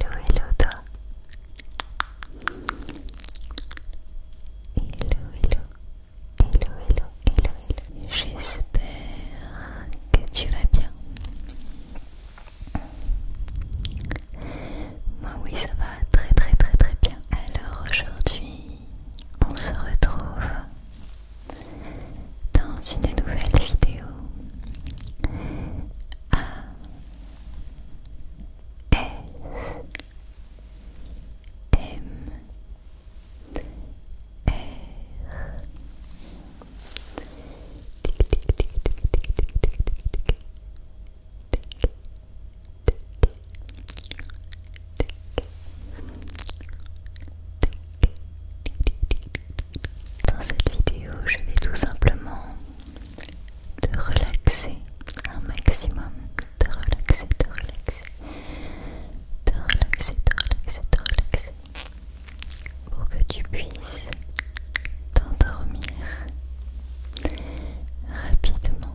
Hello, hello toi. Hello, hello. Hello, hello, hello, hello. J'espère que tu vas bien. Moi oui, ça va très très très très bien. Alors aujourd'hui, on se retrouve dans une nouvelle vidéo dans cette vidéo, je vais tout simplement de relaxer un maximum, de relaxer, de relaxer, de relaxer, de relaxer, de relaxer, pour que tu puisses t'endormir rapidement.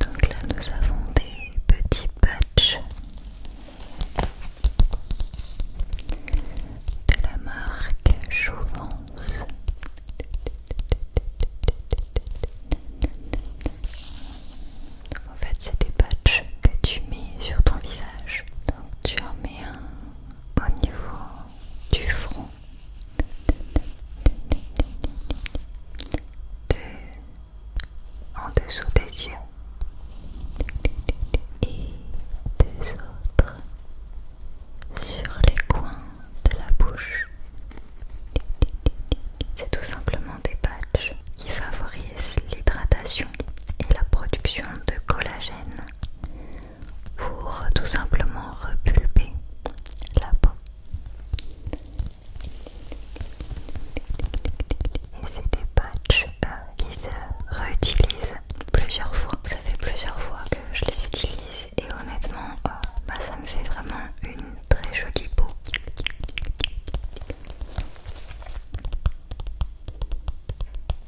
Donc là nous avons des petits patchs de la marque Jouvence c'est des patchs que tu mets sur ton visage. Donc tu en mets un au niveau du front, Deux en dessous des yeux et deux autres sur les coins de la bouche. C'est tout simplement des patchs qui favorisent l'hydratation et la production de collagène pour tout simplement repulper la peau. Et c'est des patchs qui euh, se réutilisent plusieurs fois. Ça fait plusieurs fois que je les utilise et honnêtement, euh, bah, ça me fait vraiment une très jolie peau.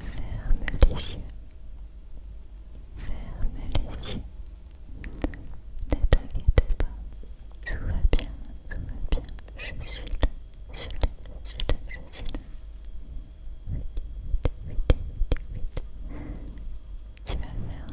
Ferme les yeux. Ferme les yeux. Ne t'inquiète pas. Tout va bien, tout va bien. Je suis là, je suis là, je suis là, je suis là. Tu vas faire un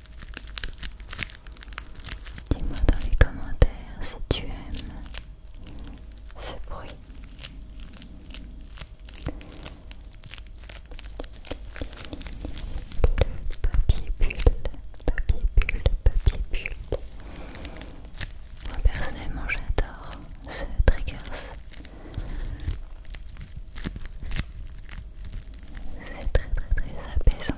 Dis-moi dans les commentaires si tu aimes ce bruit. Papier bulle, papier bulle, papier bulle. Moi personnellement j'adore ce triggers. C'est très très très apaisant.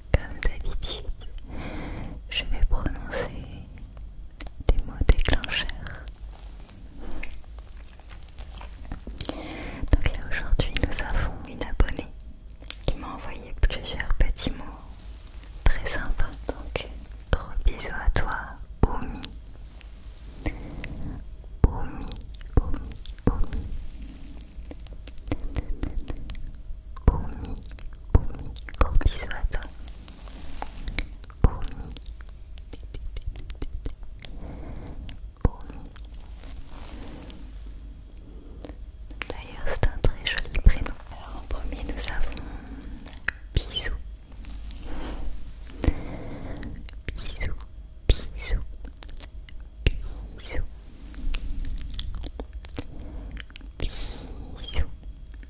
Comme d'habitude, je vais prononcer des mots déclencheurs. Donc là aujourd'hui, nous avons une abonnée qui m'a envoyé plusieurs petits mots très sympas. Donc, gros bisous à toi, Oumi. Oumi, Oumi, Oumi gros bisous à toi 봄이 봄이 D'ailleurs c'est un très joli prénom. Alors en premier nous avons Bisou. Bisou, bisou, bisou. Bisou,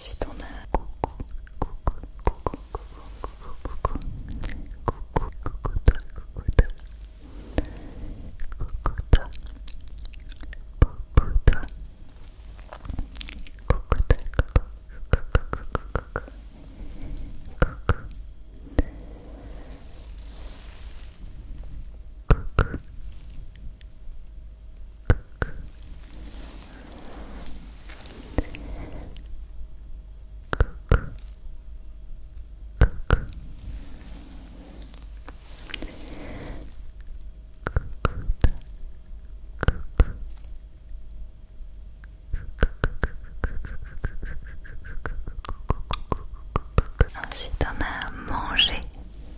Ensuite, on a coucou, coucou, coucou, coucou, coucou, coucou, coucou, toi, coucou, toi, coucou, toi, coucou, toi, coucou, toi, coucou, coucou, coucou, coucou. Coucou. Coucou. Ensuite, on a manger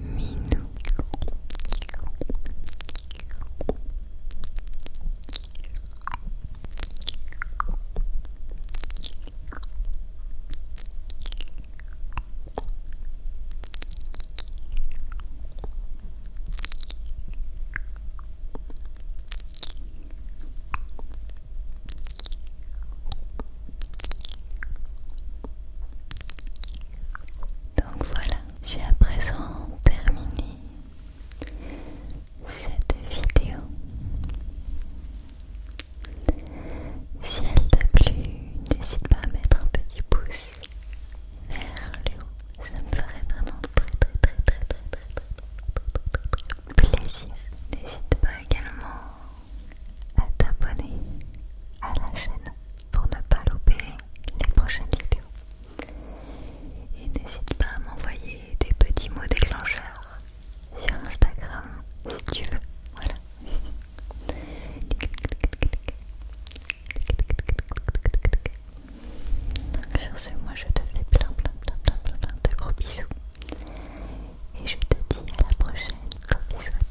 Minou. Donc voilà, j'ai à présent terminé cette vidéo. Si elle t'a plu, n'hésite pas à mettre un petit pouce vers le haut. Ça me ferait vraiment très très très très très très très, très, très plaisir. N'hésite pas également à t'abonner à la chaîne pour ne pas louper les prochaines vidéos. Et n'hésite pas à m'envoyer des petits mots déclencheurs sur Instagram si tu veux. Voilà. sur ce, moi je te fais plein plein plein plein plein, de gros bisous. Et je te dis à la prochaine. bisous